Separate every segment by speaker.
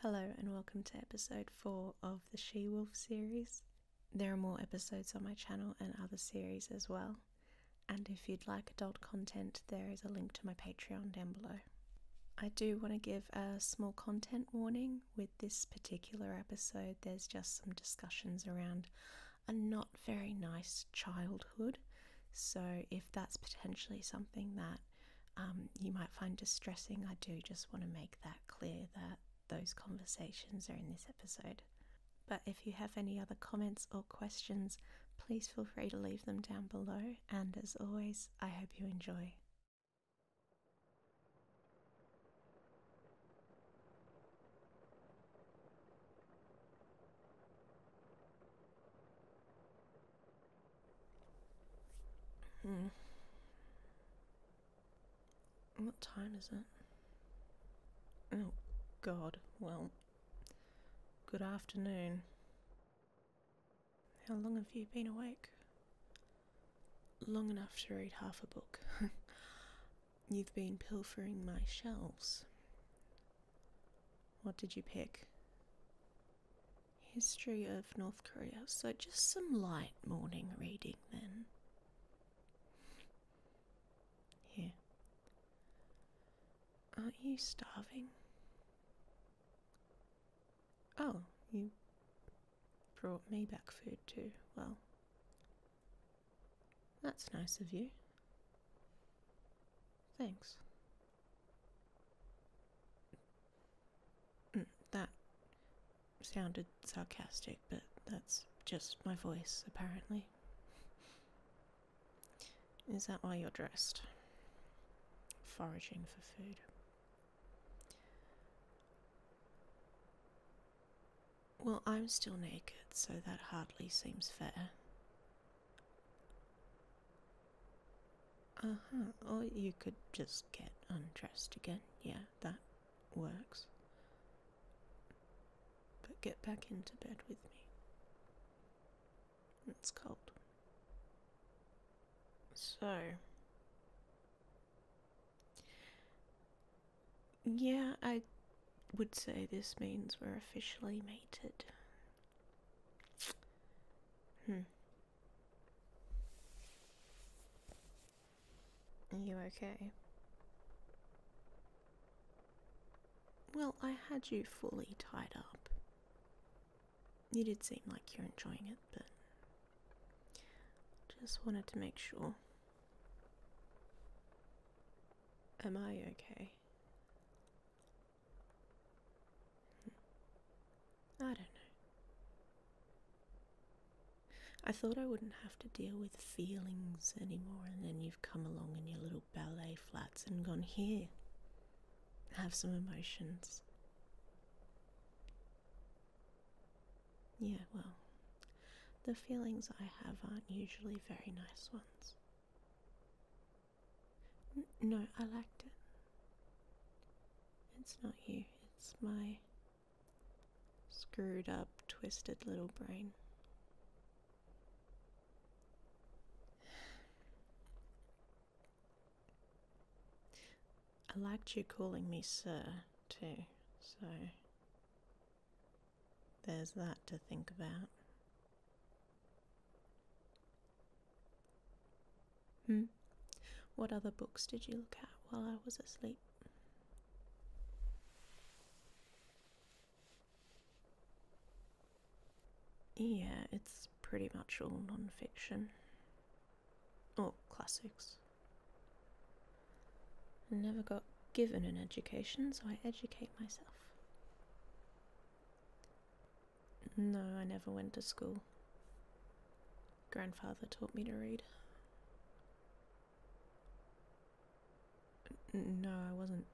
Speaker 1: Hello, and welcome to episode 4 of the She Wolf series. There are more episodes on my channel and other series as well. And if you'd like adult content, there is a link to my Patreon down below. I do want to give a small content warning with this particular episode. There's just some discussions around a not very nice childhood. So, if that's potentially something that um, you might find distressing. I do just want to make that clear that those conversations are in this episode. But if you have any other comments or questions, please feel free to leave them down below. And as always, I hope you enjoy. Hmm. What time is it? Oh, God. Well, good afternoon. How long have you been awake? Long enough to read half a book. You've been pilfering my shelves. What did you pick? History of North Korea. So just some light morning reading then. Here. Aren't you starving? Oh, you brought me back food too. Well, that's nice of you. Thanks. Mm, that sounded sarcastic, but that's just my voice, apparently. Is that why you're dressed? Foraging for food. Well, I'm still naked, so that hardly seems fair. Uh huh. Or you could just get undressed again. Yeah, that works. But get back into bed with me. It's cold. So. Yeah, I would say this means we're officially mated. Hmm. Are you okay? Well, I had you fully tied up. You did seem like you're enjoying it, but just wanted to make sure. Am I okay? I don't know. I thought I wouldn't have to deal with feelings anymore, and then you've come along in your little ballet flats and gone here. Have some emotions. Yeah, well, the feelings I have aren't usually very nice ones. no, I liked it. It's not you, it's my screwed up, twisted little brain. I liked you calling me Sir, too, so there's that to think about. Hmm. What other books did you look at while I was asleep? Yeah, it's pretty much all non fiction. Or classics. I never got given an education, so I educate myself. No, I never went to school. Grandfather taught me to read. No, I wasn't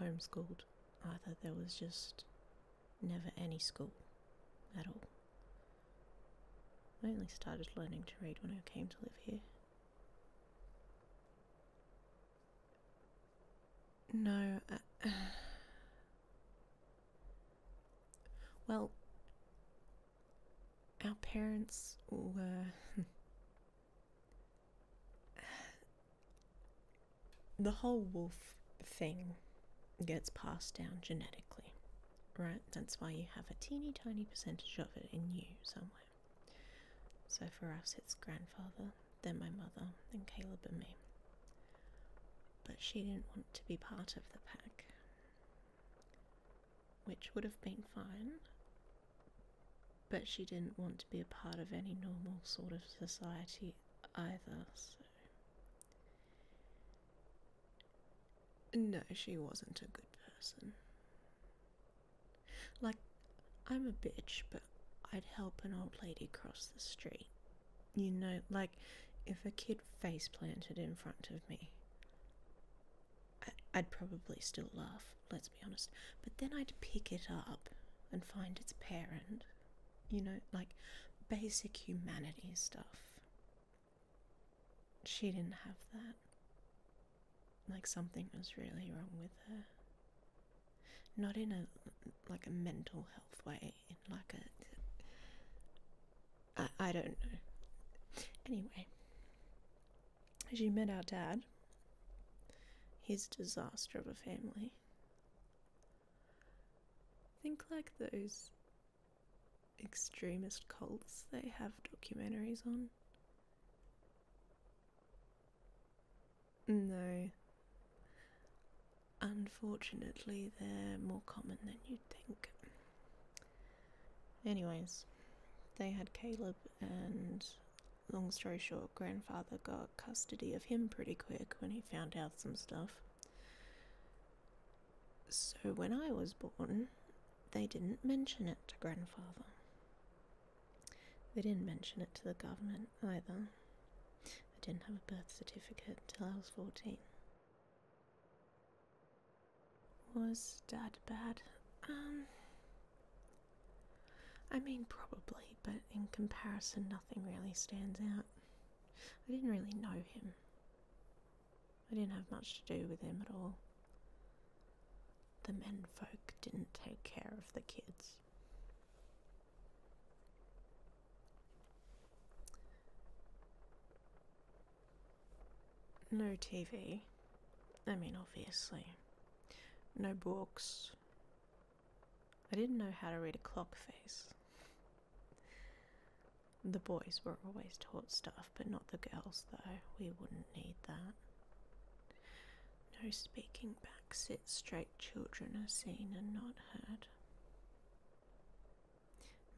Speaker 1: homeschooled either. There was just never any school at all. I only started learning to read when I came to live here. No, well, our parents were. the whole wolf thing gets passed down genetically, right? That's why you have a teeny tiny percentage of it in you somewhere. So for us, it's grandfather, then my mother, then Caleb and me. But she didn't want to be part of the pack which would have been fine, but she didn't want to be a part of any normal sort of society either, so. No, she wasn't a good person. Like, I'm a bitch, but I'd help an old lady cross the street you know, like if a kid face planted in front of me, I would probably still laugh, let's be honest. But then I'd pick it up and find its parent. You know, like basic humanity stuff. She didn't have that. Like something was really wrong with her. Not in a like a mental health way, in like a. I, I don't know. Anyway, as you met our dad, his disaster of a family. think like those extremist cults they have documentaries on. No. Unfortunately, they're more common than you'd think. Anyways, they had Caleb, and long story short, grandfather got custody of him pretty quick when he found out some stuff. So when I was born, they didn't mention it to grandfather. They didn't mention it to the government either. I didn't have a birth certificate till I was 14 was that bad? Um, I mean, probably, but in comparison, nothing really stands out. I didn't really know him. I didn't have much to do with him at all. The menfolk didn't take care of the kids. No TV. I mean, obviously. No books. I didn't know how to read a clock face. The boys were always taught stuff, but not the girls, though. We wouldn't need that. No speaking back, sit straight, children are seen and not heard.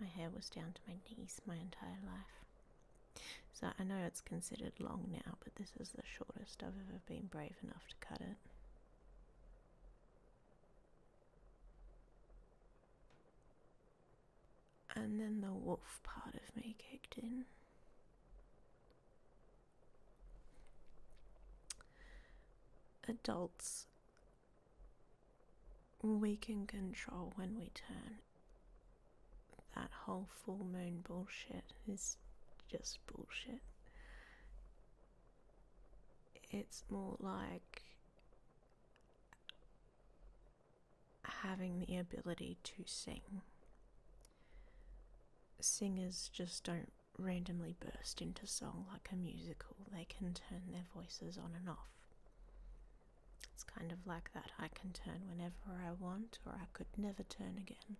Speaker 1: My hair was down to my knees my entire life. So I know it's considered long now, but this is the shortest I've ever been brave enough to cut it. And then the wolf part of me kicked in. Adults we can control when we turn. That whole full moon bullshit is just bullshit. It's more like having the ability to sing. Singers just don't randomly burst into song like a musical, they can turn their voices on and off. It's kind of like that I can turn whenever I want, or I could never turn again.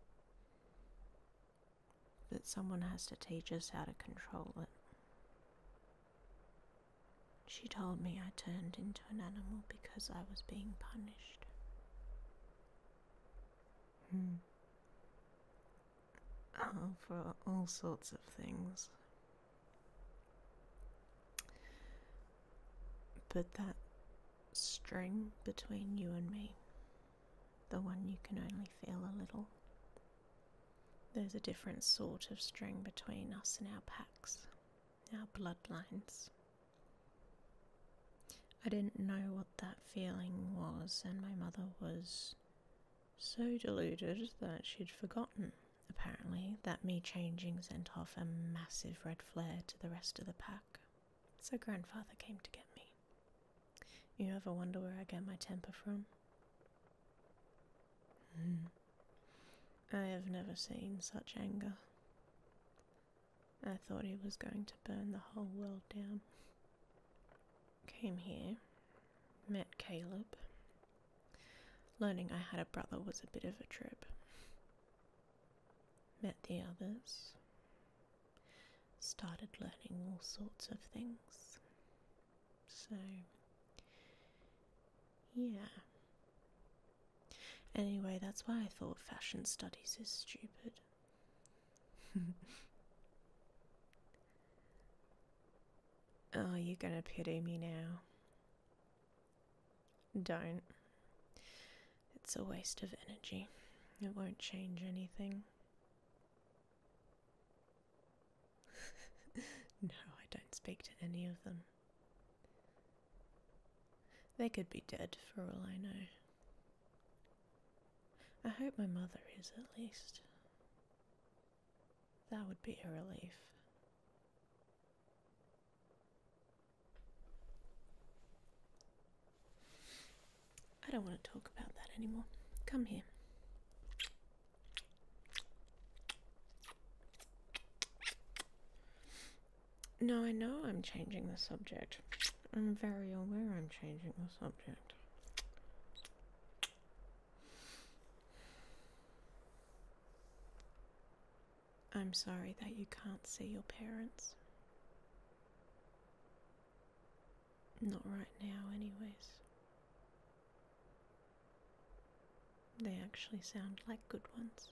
Speaker 1: But someone has to teach us how to control it. She told me I turned into an animal because I was being punished. Hmm. Oh, for all sorts of things. But that string between you and me, the one you can only feel a little, there's a different sort of string between us and our packs, our bloodlines. I didn't know what that feeling was, and my mother was so deluded that she'd forgotten apparently, that me changing sent off a massive red flare to the rest of the pack. So grandfather came to get me. You ever wonder where I get my temper from? Hmm. I have never seen such anger. I thought he was going to burn the whole world down. Came here, met Caleb, Learning I had a brother was a bit of a trip. Met the others, started learning all sorts of things. So, yeah. Anyway, that's why I thought fashion studies is stupid. Are oh, you gonna pity me now. Don't. It's a waste of energy. It won't change anything. no, I don't speak to any of them. They could be dead for all I know. I hope my mother is at least. That would be a relief. I don't want to talk about that anymore. Come here. No, I know I'm changing the subject. I'm very aware I'm changing the subject. I'm sorry that you can't see your parents. Not right now, anyways. They actually sound like good ones.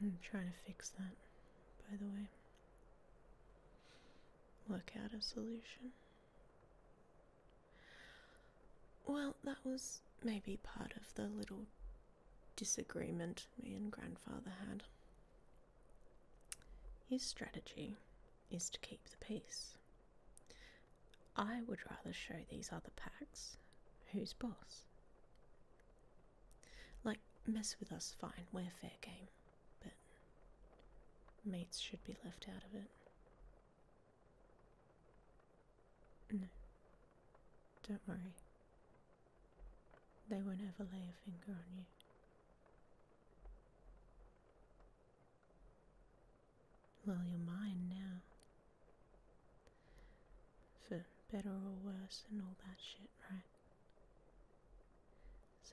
Speaker 1: I'm trying to fix that, by the way. Look out a solution. Well, that was maybe part of the little disagreement me and grandfather had. His strategy is to keep the peace. I would rather show these other packs who's boss. Like, mess with us, fine, we're fair game, but mates should be left out of it. No. Don't worry. They won't ever lay a finger on you. Well, you're mine now. For better or worse and all that shit, right?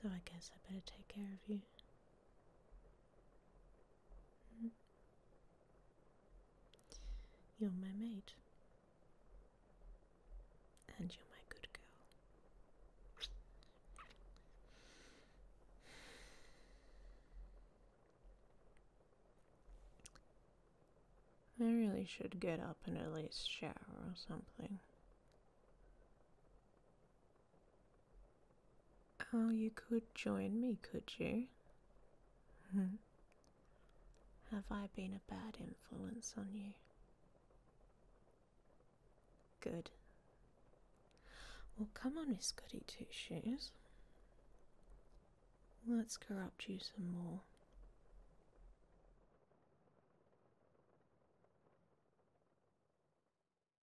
Speaker 1: So I guess I better take care of you. You're my mate. And you're my good girl. I really should get up and at least shower or something. Oh, you could join me, could you? Mm-hmm. Have I been a bad influence on you? Good. Well, come on, Miss Goody Two Shoes. Let's corrupt you some more.